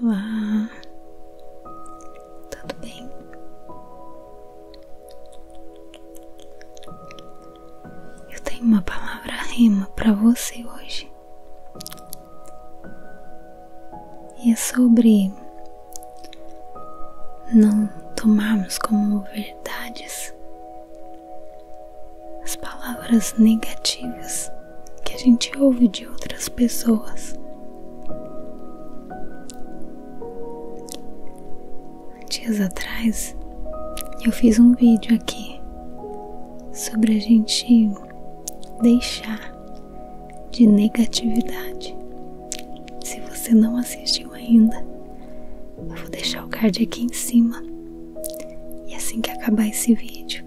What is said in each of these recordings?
Olá, tudo bem? Eu tenho uma palavra rima para você hoje. E é sobre não tomarmos como verdades as palavras negativas que a gente ouve de outras pessoas. Dias atrás eu fiz um vídeo aqui sobre a gente deixar de negatividade se você não assistiu ainda, eu vou deixar o card aqui em cima. E assim que acabar esse vídeo,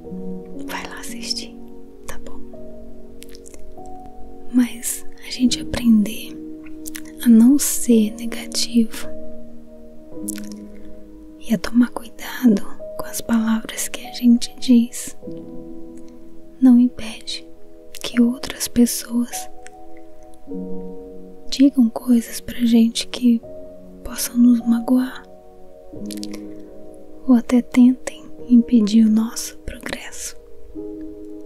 vai lá assistir, tá bom? Mas a gente aprender a não ser negativo e a tomar cuidado com as palavras que a gente diz não impede que outras pessoas digam coisas pra gente que possam nos magoar ou até tentem impedir o nosso progresso.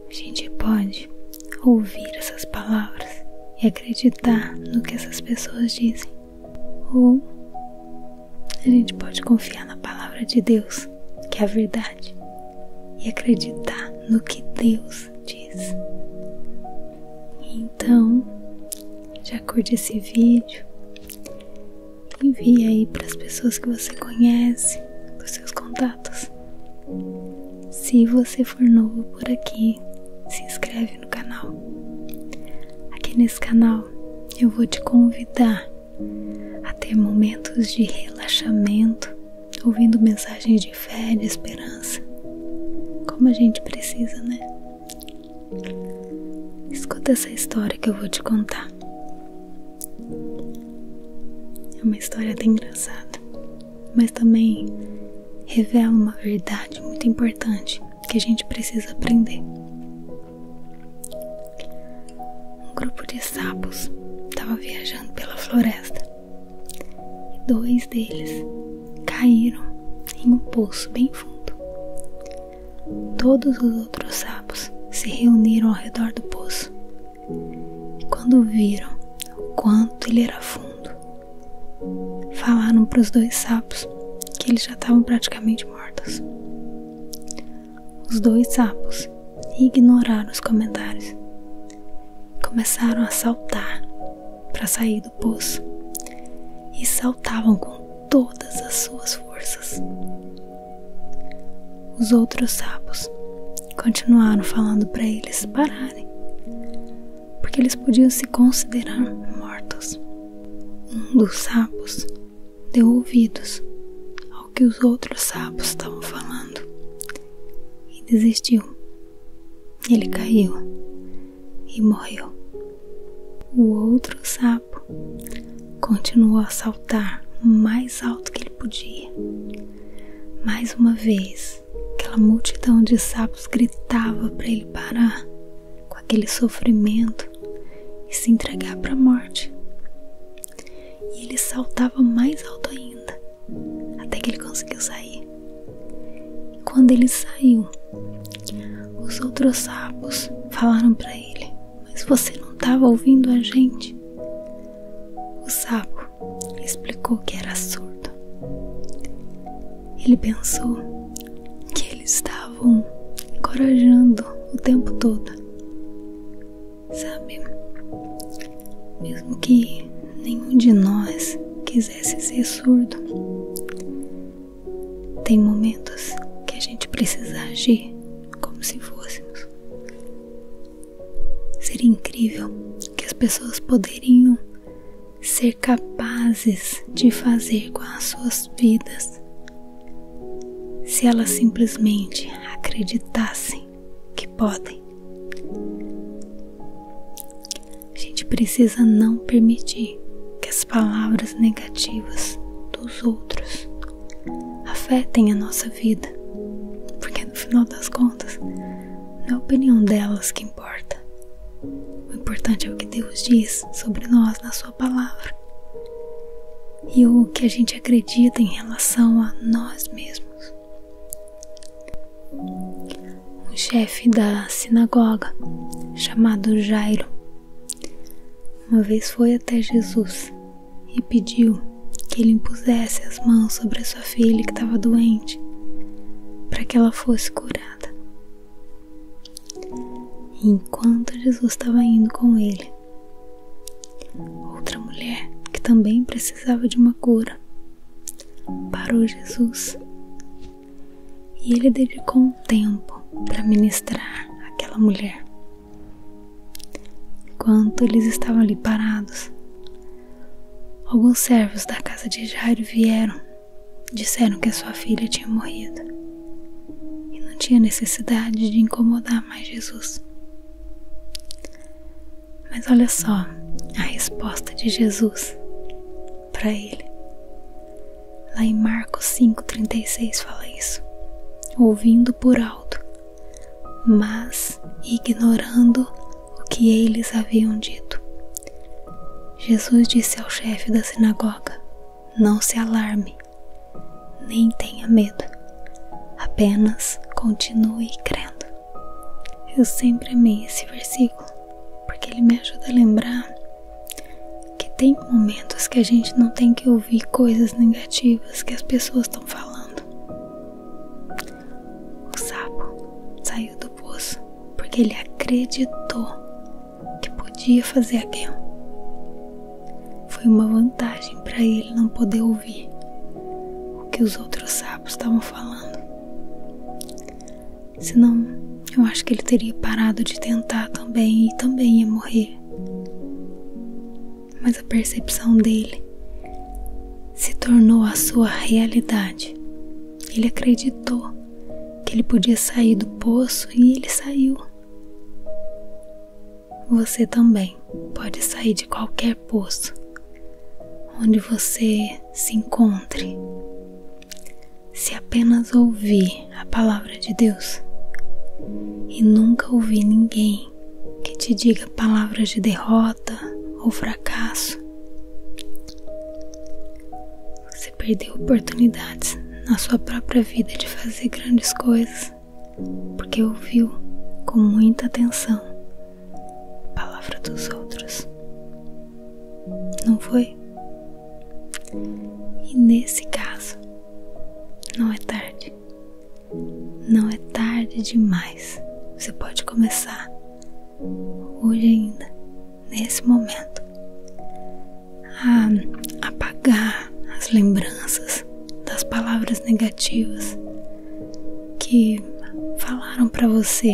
A gente pode ouvir essas palavras e acreditar no que essas pessoas dizem, ou a gente pode confiar na palavra de Deus que é a verdade, e acreditar no que Deus diz. Então, já curte esse vídeo, envie aí para as pessoas que você conhece, para os seus contatos. Se você for novo por aqui, se inscreve no canal. Aqui nesse canal eu vou te convidar a ter momentos de relaxamento, ouvindo mensagens de fé, de esperança. Como a gente precisa, né? Escuta essa história que eu vou te contar. É uma história até engraçada, mas também revela uma verdade muito importante que a gente precisa aprender. Um grupo de sapos estava viajando pela floresta e dois deles caíram em um poço bem fundo. Todos os outros sapos se reuniram ao redor do poço e, quando viram o quanto ele era fundo, falaram para os dois sapos que eles já estavam praticamente mortos os dois sapos e ignoraram os comentários. Começaram a saltar para sair do poço e saltavam com todas as suas forças. Os outros sapos continuaram falando para eles pararem, porque eles podiam se considerar mortos. Um dos sapos deu ouvidos ao que os outros sapos estavam falando e desistiu. Ele caiu e morreu. O outro sapo continuou a saltar o mais alto que ele podia. Mais uma vez, aquela multidão de sapos gritava para ele parar com aquele sofrimento e se entregar para a morte. E ele saltava mais alto ainda, até que ele conseguiu sair. quando ele saiu, os outros sapos falaram para ele: Mas você não estava ouvindo a gente? O sapo explicou que era surdo. Ele pensou que eles estavam encorajando o tempo todo sabe? Mesmo que nenhum de nós quisesse ser surdo, tem momentos que a gente precisa agir como se fôssemos. Seria incrível que as pessoas poderiam ser capazes de fazer com as suas vidas se elas simplesmente acreditassem que podem. A gente precisa não permitir que as palavras negativas dos outros afetem a nossa vida, porque no final das contas, não é a opinião delas que importa. O importante é o que Deus diz sobre nós na Sua palavra e o que a gente acredita em relação a nós mesmos. Um chefe da sinagoga, chamado Jairo, uma vez foi até Jesus e pediu que ele impusesse as mãos sobre a sua filha que estava doente, para que ela fosse curada. E enquanto Jesus estava indo com ele, Outra mulher que também precisava de uma cura parou Jesus e ele dedicou um tempo para ministrar aquela mulher. Enquanto eles estavam ali parados, alguns servos da casa de Jairo vieram, disseram que a sua filha tinha morrido e não tinha necessidade de incomodar mais Jesus. Mas olha só a resposta de Jesus para ele. Lá em Marcos 5,36 fala isso. Ouvindo por alto, mas ignorando o que eles haviam dito. Jesus disse ao chefe da sinagoga: Não se alarme, nem tenha medo, apenas continue crendo. Eu sempre amei esse versículo porque ele me ajuda a lembrar que tem momentos que a gente não tem que ouvir coisas negativas que as pessoas estão falando. O sapo saiu do poço porque ele acreditou que podia fazer aquilo. Foi uma vantagem para ele não poder ouvir o que os outros sapos estavam falando. Senão, eu acho que ele teria parado de tentar também e também ia morrer. Mas a percepção dele se tornou a sua realidade. Ele acreditou que ele podia sair do poço e ele saiu você também pode sair de qualquer poço onde você se encontre. Se apenas ouvir a palavra de Deus e nunca ouvir ninguém que te diga palavras de derrota ou fracasso, você perdeu oportunidades na sua própria vida de fazer grandes coisas porque ouviu com muita atenção a palavra dos outros. Não foi? E nesse caso, não é tarde. Não é tarde demais. Você pode começar hoje ainda, nesse momento, a apagar as lembranças das palavras negativas que falaram para você.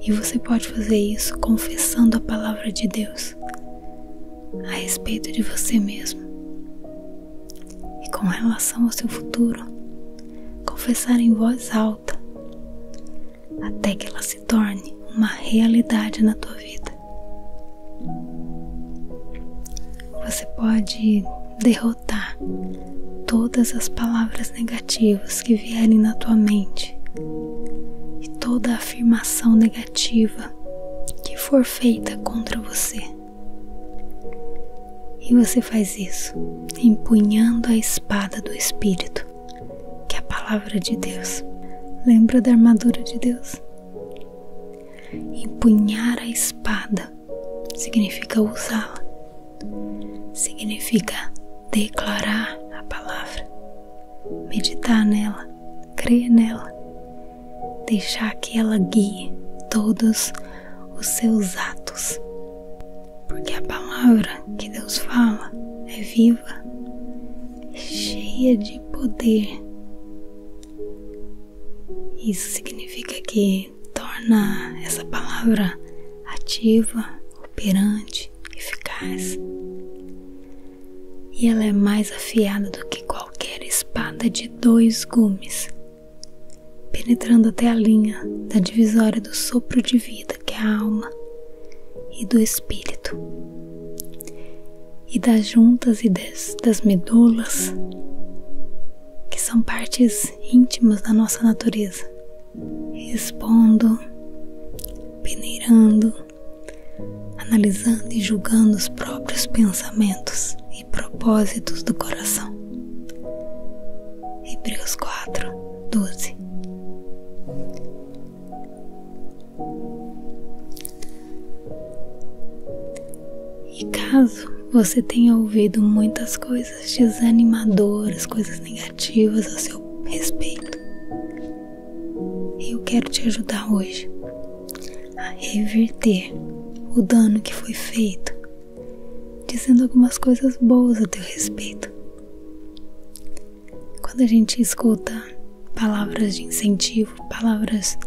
E você pode fazer isso confessando a palavra de Deus a respeito de você mesmo. E com relação ao seu futuro, confessar em voz alta até que ela se torne uma realidade na tua vida. Você pode derrotar todas as palavras negativas que vierem na tua mente e toda afirmação negativa que for feita contra você. E você faz isso empunhando a espada do Espírito, que é a palavra de Deus. Lembra da armadura de Deus? Empunhar a espada significa usá-la, significa declarar a palavra, meditar nela, crer nela, deixar que ela guie todos os seus atos. Porque a palavra que Deus fala é viva, cheia de poder isso significa que torna essa palavra ativa, operante, eficaz. E ela é mais afiada do que qualquer espada de dois gumes, penetrando até a linha da divisória do sopro de vida que é a alma e do espírito e das juntas e das, medulas, que são partes íntimas da nossa natureza, expondo, peneirando, analisando e julgando os próprios pensamentos e propósitos do coração. Hebreus 4, 12. E caso você tenha ouvido muitas coisas desanimadoras, coisas negativas a seu respeito, eu quero te ajudar hoje a reverter o dano que foi feito, dizendo algumas coisas boas a teu respeito. Quando a gente escuta palavras de incentivo, palavras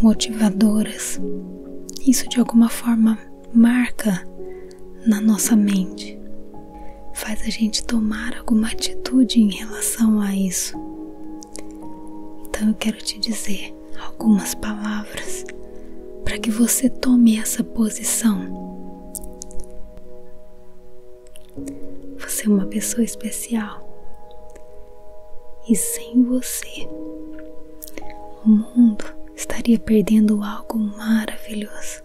motivadoras. Isso de alguma forma marca na nossa mente, faz a gente tomar alguma atitude em relação a isso. Então eu quero te dizer algumas palavras para que você tome essa posição. Você é uma pessoa especial. E sem você, o mundo estaria perdendo algo maravilhoso.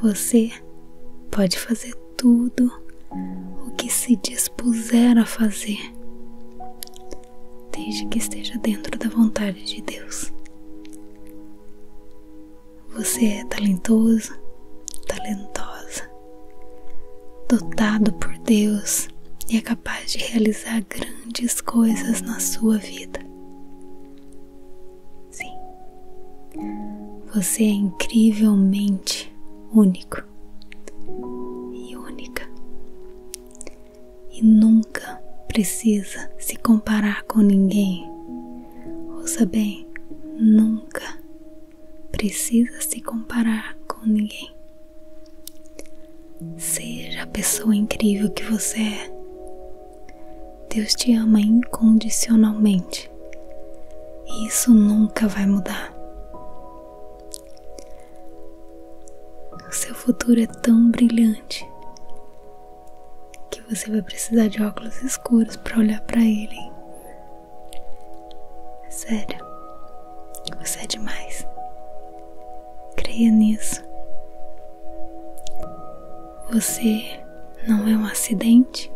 Você pode fazer tudo o que se dispuser a fazer, desde que esteja dentro da vontade de Deus. Você é talentoso, talentosa, dotado por Deus e é capaz de realizar grandes coisas na sua vida. Sim, você é incrivelmente único e única e nunca precisa se comparar com ninguém Ouça bem, nunca precisa se comparar com ninguém. Seja a pessoa incrível que você é. Deus te ama incondicionalmente. E isso nunca vai mudar. O seu futuro é tão brilhante que você vai precisar de óculos escuros para olhar para ele. Hein? É sério, você é demais. Creia nisso. Você não é um acidente.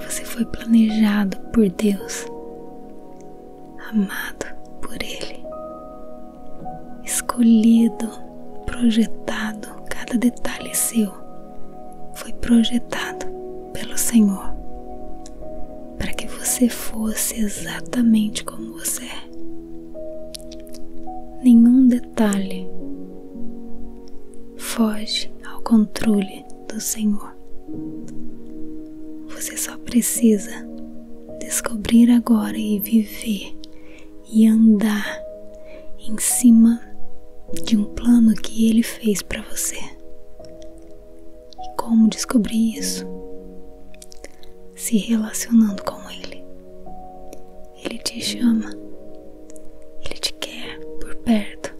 Você foi planejado por Deus, amado por Ele, escolhido projetado, cada detalhe seu foi projetado pelo Senhor para que você fosse exatamente como você é. Nenhum detalhe foge ao controle do Senhor. Você só precisa descobrir agora e viver e andar em cima de um plano que ele fez para você. E como descobrir isso? Se relacionando com ele. Ele te chama. Ele te quer por perto.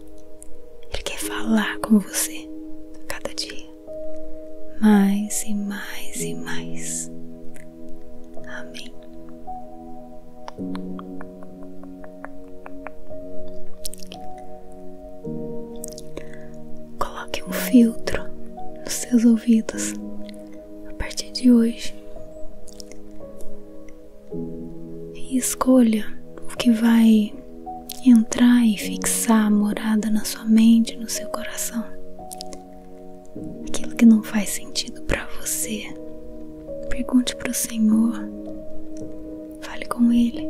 Ele quer falar com você a cada dia. Mais e mais e mais. Amém. Coloque um filtro nos seus ouvidos a partir de hoje e escolha o que vai entrar e fixar a morada na sua mente, no seu coração. Aquilo que não faz sentido para você, Pergunte para o Senhor, fale com Ele,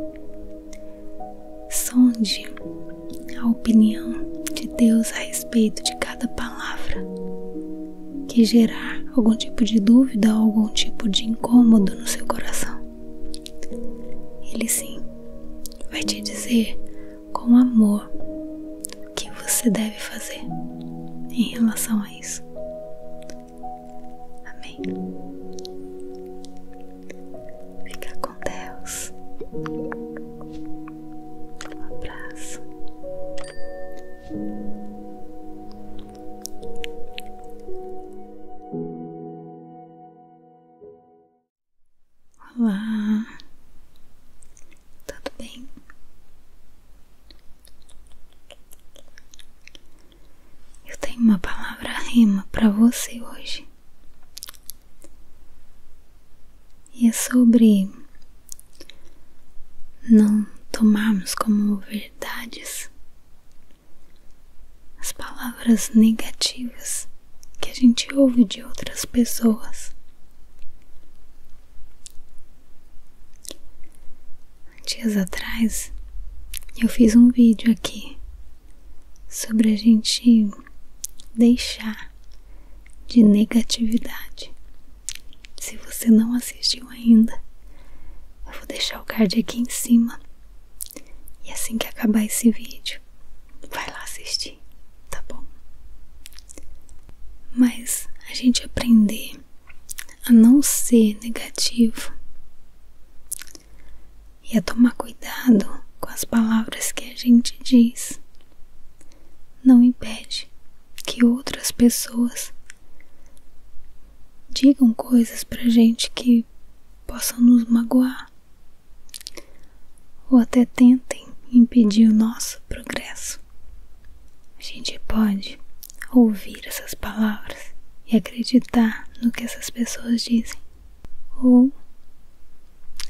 sonde a opinião de Deus a respeito de cada palavra que gerar algum tipo de dúvida ou algum tipo de incômodo no seu coração. Ele sim vai te dizer com amor o que você deve fazer em relação a isso nós. Amém. Fica com Deus. Um abraço. Olá, tudo bem? Eu tenho uma palavra rima para você hoje. E é sobre não tomarmos como verdades as palavras negativas que a gente ouve de outras pessoas. Dias atrás eu fiz um vídeo aqui sobre a gente deixar de negatividade. Se você não assistiu ainda, eu vou deixar o card aqui em cima. E assim que acabar esse vídeo, vai lá assistir, tá bom? Mas a gente aprender a não ser negativo e a tomar cuidado com as palavras que a gente diz. Não impede que outras pessoas digam coisas pra gente que possam nos magoar ou até tentem impedir o nosso progresso a gente pode ouvir essas palavras e acreditar no que essas pessoas dizem, ou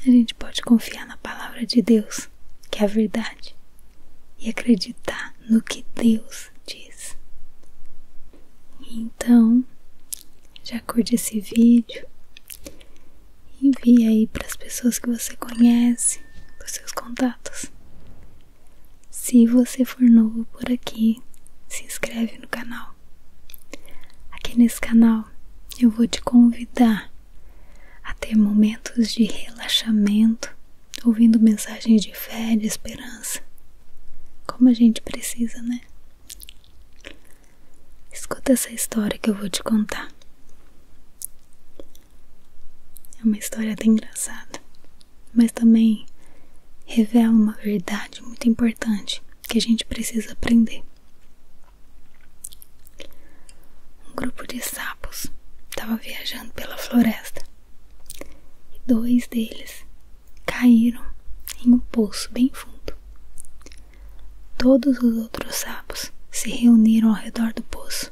a gente pode confiar na palavra de Deus, que é a verdade, e acreditar no que Deus diz. Então, já curte esse vídeo, envie aí para as pessoas que você conhece, para os seus contatos se você for novo por aqui, se inscreve no canal. Aqui nesse canal eu vou te convidar a ter momentos de relaxamento, ouvindo mensagens de fé, de esperança. Como a gente precisa, né? Escuta essa história que eu vou te contar. É uma história até engraçada, mas também revela uma verdade muito importante que a gente precisa aprender. Um grupo de sapos estava viajando pela floresta e dois deles caíram em um poço bem fundo. Todos os outros sapos se reuniram ao redor do poço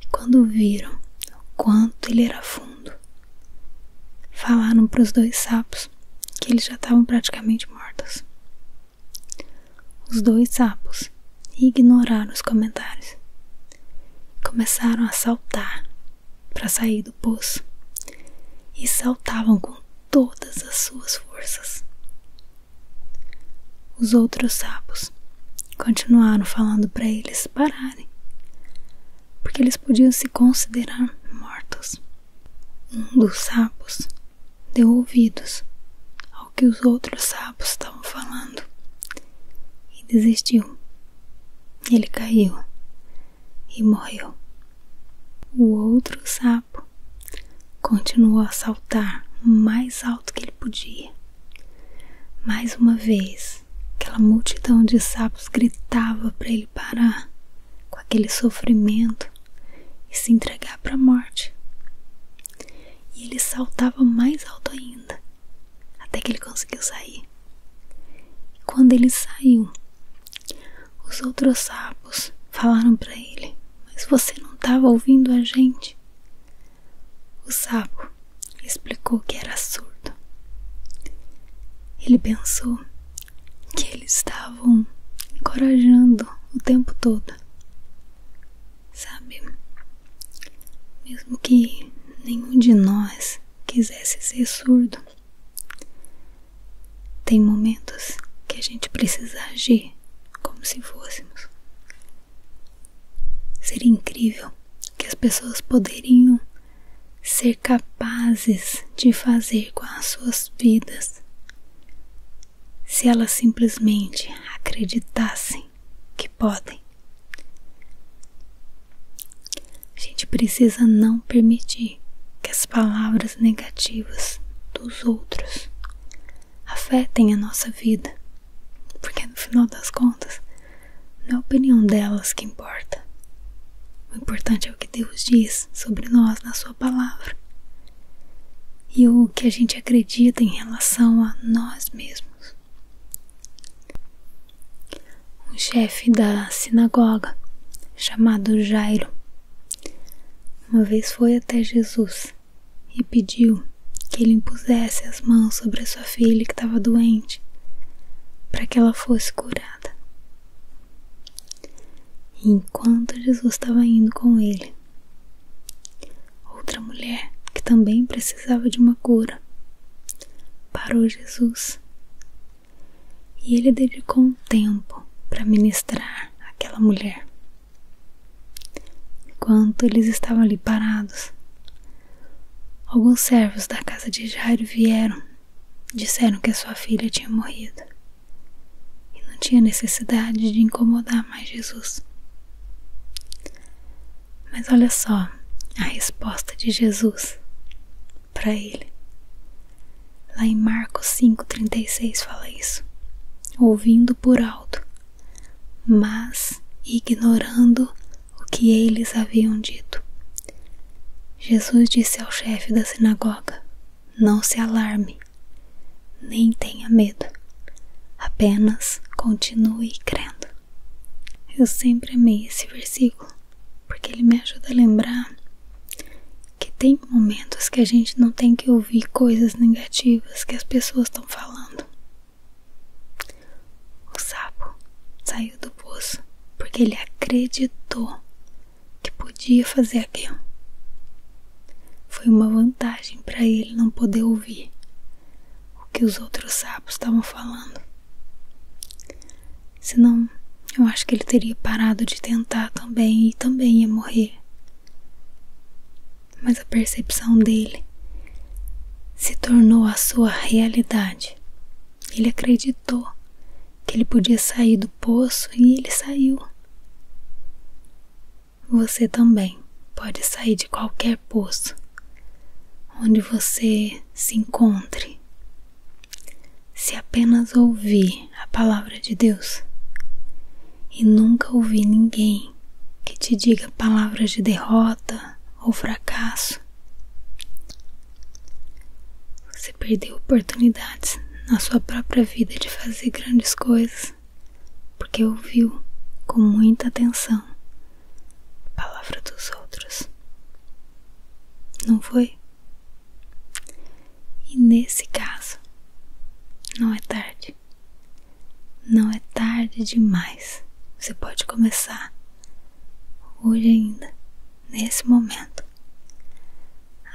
e quando viram o quanto ele era fundo, falaram para os dois sapos que eles já estavam praticamente mortos. Os dois sapos ignoraram os comentários. e Começaram a saltar para sair do poço e saltavam com todas as suas forças. Os outros sapos Continuaram falando para eles pararem, porque eles podiam se considerar mortos. Um dos sapos deu ouvidos ao que os outros sapos estavam falando e desistiu. Ele caiu e morreu. O outro sapo continuou a saltar o mais alto que ele podia mais uma vez, aquela multidão de sapos gritava para ele parar com aquele sofrimento e se entregar para a morte. E ele saltava mais alto ainda, até que ele conseguiu sair. quando ele saiu, os outros sapos falaram para ele: Mas você não estava ouvindo a gente? O sapo explicou que era surdo. Ele pensou que eles estavam encorajando o tempo todo. Sabe, mesmo que nenhum de nós quisesse ser surdo, tem momentos que a gente precisa agir como se fôssemos. Seria incrível que as pessoas poderiam ser capazes de fazer com as suas vidas se elas simplesmente acreditassem que podem. A gente precisa não permitir que as palavras negativas dos outros afetem a nossa vida, porque no final das contas não é a opinião delas que importa. O importante é o que Deus diz sobre nós na Sua palavra e o que a gente acredita em relação a nós mesmos. Um chefe da sinagoga chamado Jairo uma vez foi até Jesus e pediu que ele impusesse as mãos sobre a sua filha que estava doente, para que ela fosse curada. enquanto Jesus estava indo com ele, outra mulher que também precisava de uma cura parou Jesus e ele dedicou um tempo para ministrar aquela mulher. Enquanto eles estavam ali parados, alguns servos da casa de Jairo vieram, disseram que a sua filha tinha morrido e não tinha necessidade de incomodar mais Jesus. Mas olha só a resposta de Jesus para ele. Lá em Marcos 5,36 fala isso. Ouvindo por alto, mas ignorando o que eles haviam dito. Jesus disse ao chefe da sinagoga: Não se alarme, nem tenha medo, apenas continue crendo. Eu sempre amei esse versículo porque ele me ajuda a lembrar que tem momentos que a gente não tem que ouvir coisas negativas que as pessoas estão falando. O sapo saiu do poço porque ele acreditou que podia fazer aquilo. Foi uma vantagem para ele não poder ouvir o que os outros sapos estavam falando. Senão, eu acho que ele teria parado de tentar também e também ia morrer mas a percepção dele se tornou a sua realidade. Ele acreditou que ele podia sair do poço e ele saiu. Você também pode sair de qualquer poço onde você se encontre. Se apenas ouvir a palavra de Deus e nunca ouvir ninguém que te diga palavras de derrota ou fracasso. Você perdeu oportunidades na sua própria vida de fazer grandes coisas porque ouviu com muita atenção a palavra dos outros. Não foi? E nesse caso, não é tarde. Não é tarde demais. Você pode começar hoje ainda, nesse momento,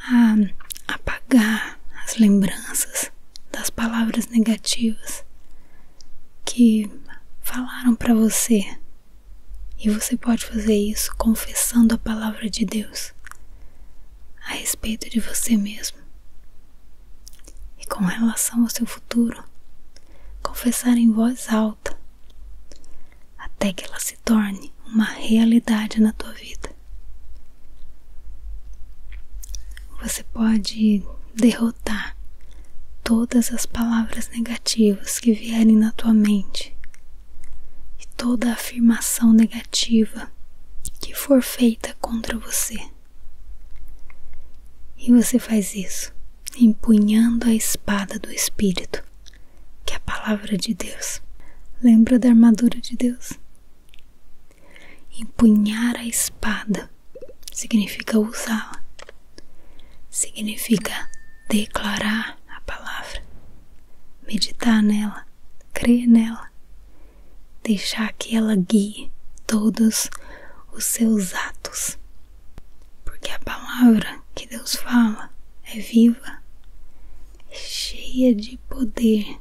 a apagar as lembranças das palavras negativas que falaram para você. E você pode fazer isso confessando a palavra de Deus a respeito de você mesmo e com relação ao seu futuro, confessar em voz alta, até que ela se torne uma realidade na tua vida. Você pode derrotar todas as palavras negativas que vierem na tua mente e toda afirmação negativa que for feita contra você. E você faz isso empunhando a espada do Espírito, que é a palavra de Deus. Lembra da armadura de Deus? Empunhar a espada significa usá-la, significa declarar a palavra, meditar nela, crer nela deixar que ela guie todos os seus atos. Porque a palavra que Deus fala é viva, é cheia de poder.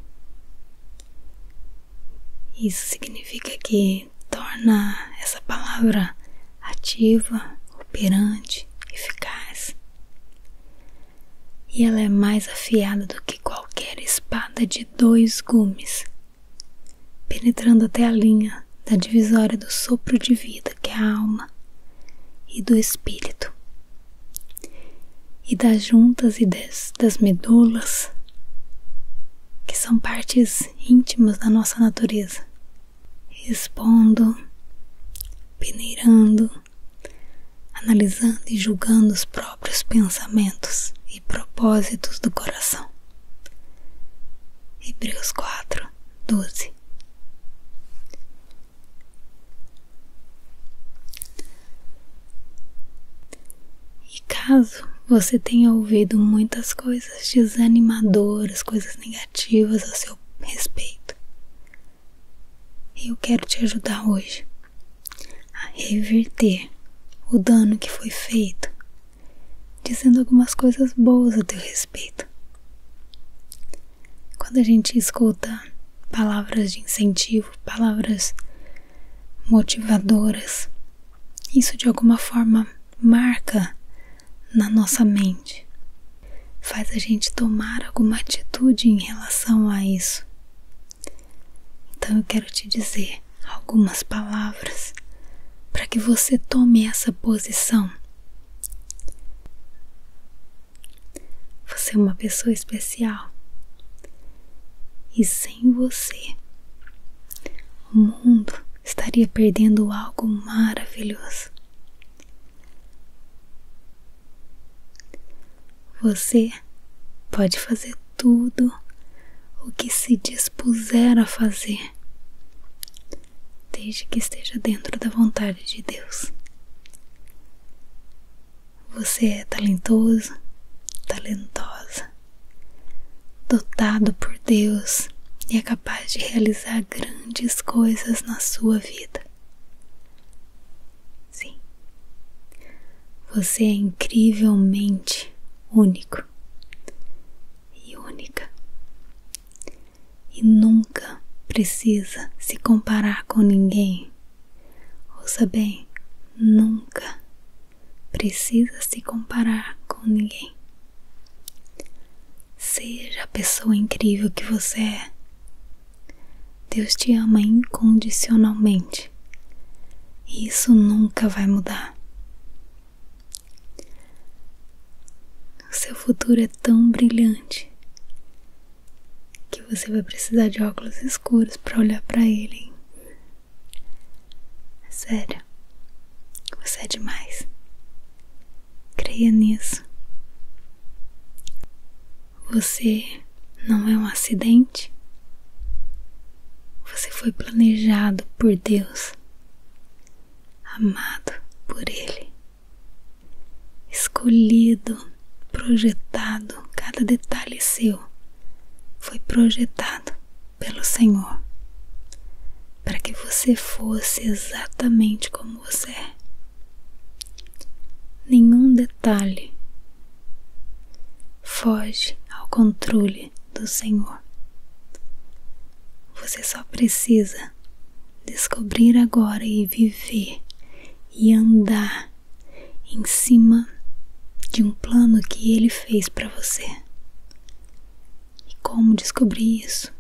Isso significa que torna essa palavra ativa, operante, eficaz. E ela é mais afiada do que qualquer espada de dois gumes penetrando até a linha da divisória do sopro de vida, que é a alma, e do espírito, e das juntas e das, medulas, que são partes íntimas da nossa natureza, expondo, peneirando, analisando e julgando os próprios pensamentos propósitos do coração. Hebreus 4, 12 E caso você tenha ouvido muitas coisas desanimadoras, coisas negativas a seu respeito, eu quero te ajudar hoje a reverter o dano que foi feito, dizendo algumas coisas boas a teu respeito. Quando a gente escuta palavras de incentivo, palavras motivadoras, isso de alguma forma marca na nossa mente, faz a gente tomar alguma atitude em relação a isso. Então eu quero te dizer algumas palavras para que você tome essa posição. Você é uma pessoa especial e sem você o mundo estaria perdendo algo maravilhoso. Você pode fazer tudo o que se dispuser a fazer, desde que esteja dentro da vontade de Deus. Você é talentoso, talentosa, dotado por Deus e é capaz de realizar grandes coisas na sua vida. Sim, você é incrivelmente único e única. E nunca precisa se comparar com ninguém. Ouça bem, nunca precisa se comparar com ninguém. Seja a pessoa incrível que você é. Deus te ama incondicionalmente. E isso nunca vai mudar. O seu futuro é tão brilhante que você vai precisar de óculos escuros para olhar para ele. Hein? É sério, você é demais. Creia nisso. Você não é um acidente. Você foi planejado por Deus, amado por Ele, escolhido, projetado, cada detalhe seu foi projetado pelo Senhor para que você fosse exatamente como você é. Nenhum detalhe foge ao controle do Senhor. Você só precisa descobrir agora e viver e andar em cima de um plano que Ele fez para você. E como descobrir isso?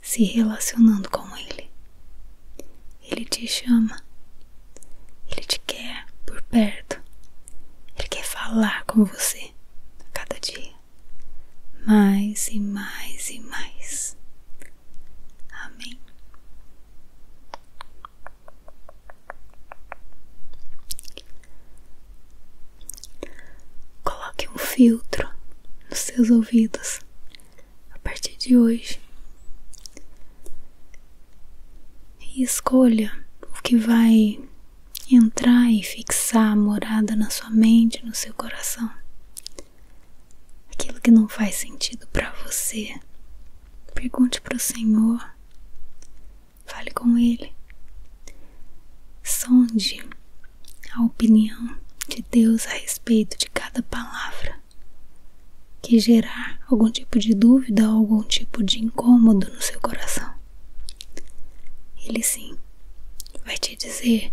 Se relacionando com Ele. Ele te chama ele te quer por perto. Ele quer falar com você a cada dia. Mais e mais e mais. Amém. Coloque um filtro nos seus ouvidos a partir de hoje e escolha o que vai entrar e fixar a morada na sua mente, no seu coração. Aquilo que não faz sentido para você, pergunte para o Senhor, fale com Ele, sonde a opinião de Deus a respeito de cada palavra que gerar algum tipo de dúvida ou algum tipo de incômodo no seu coração. Ele sim vai te dizer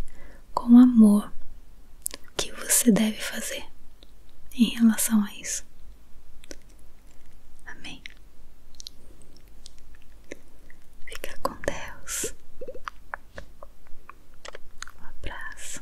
com amor o que você deve fazer em relação a isso. Amém. Fica com Deus. Um abraço.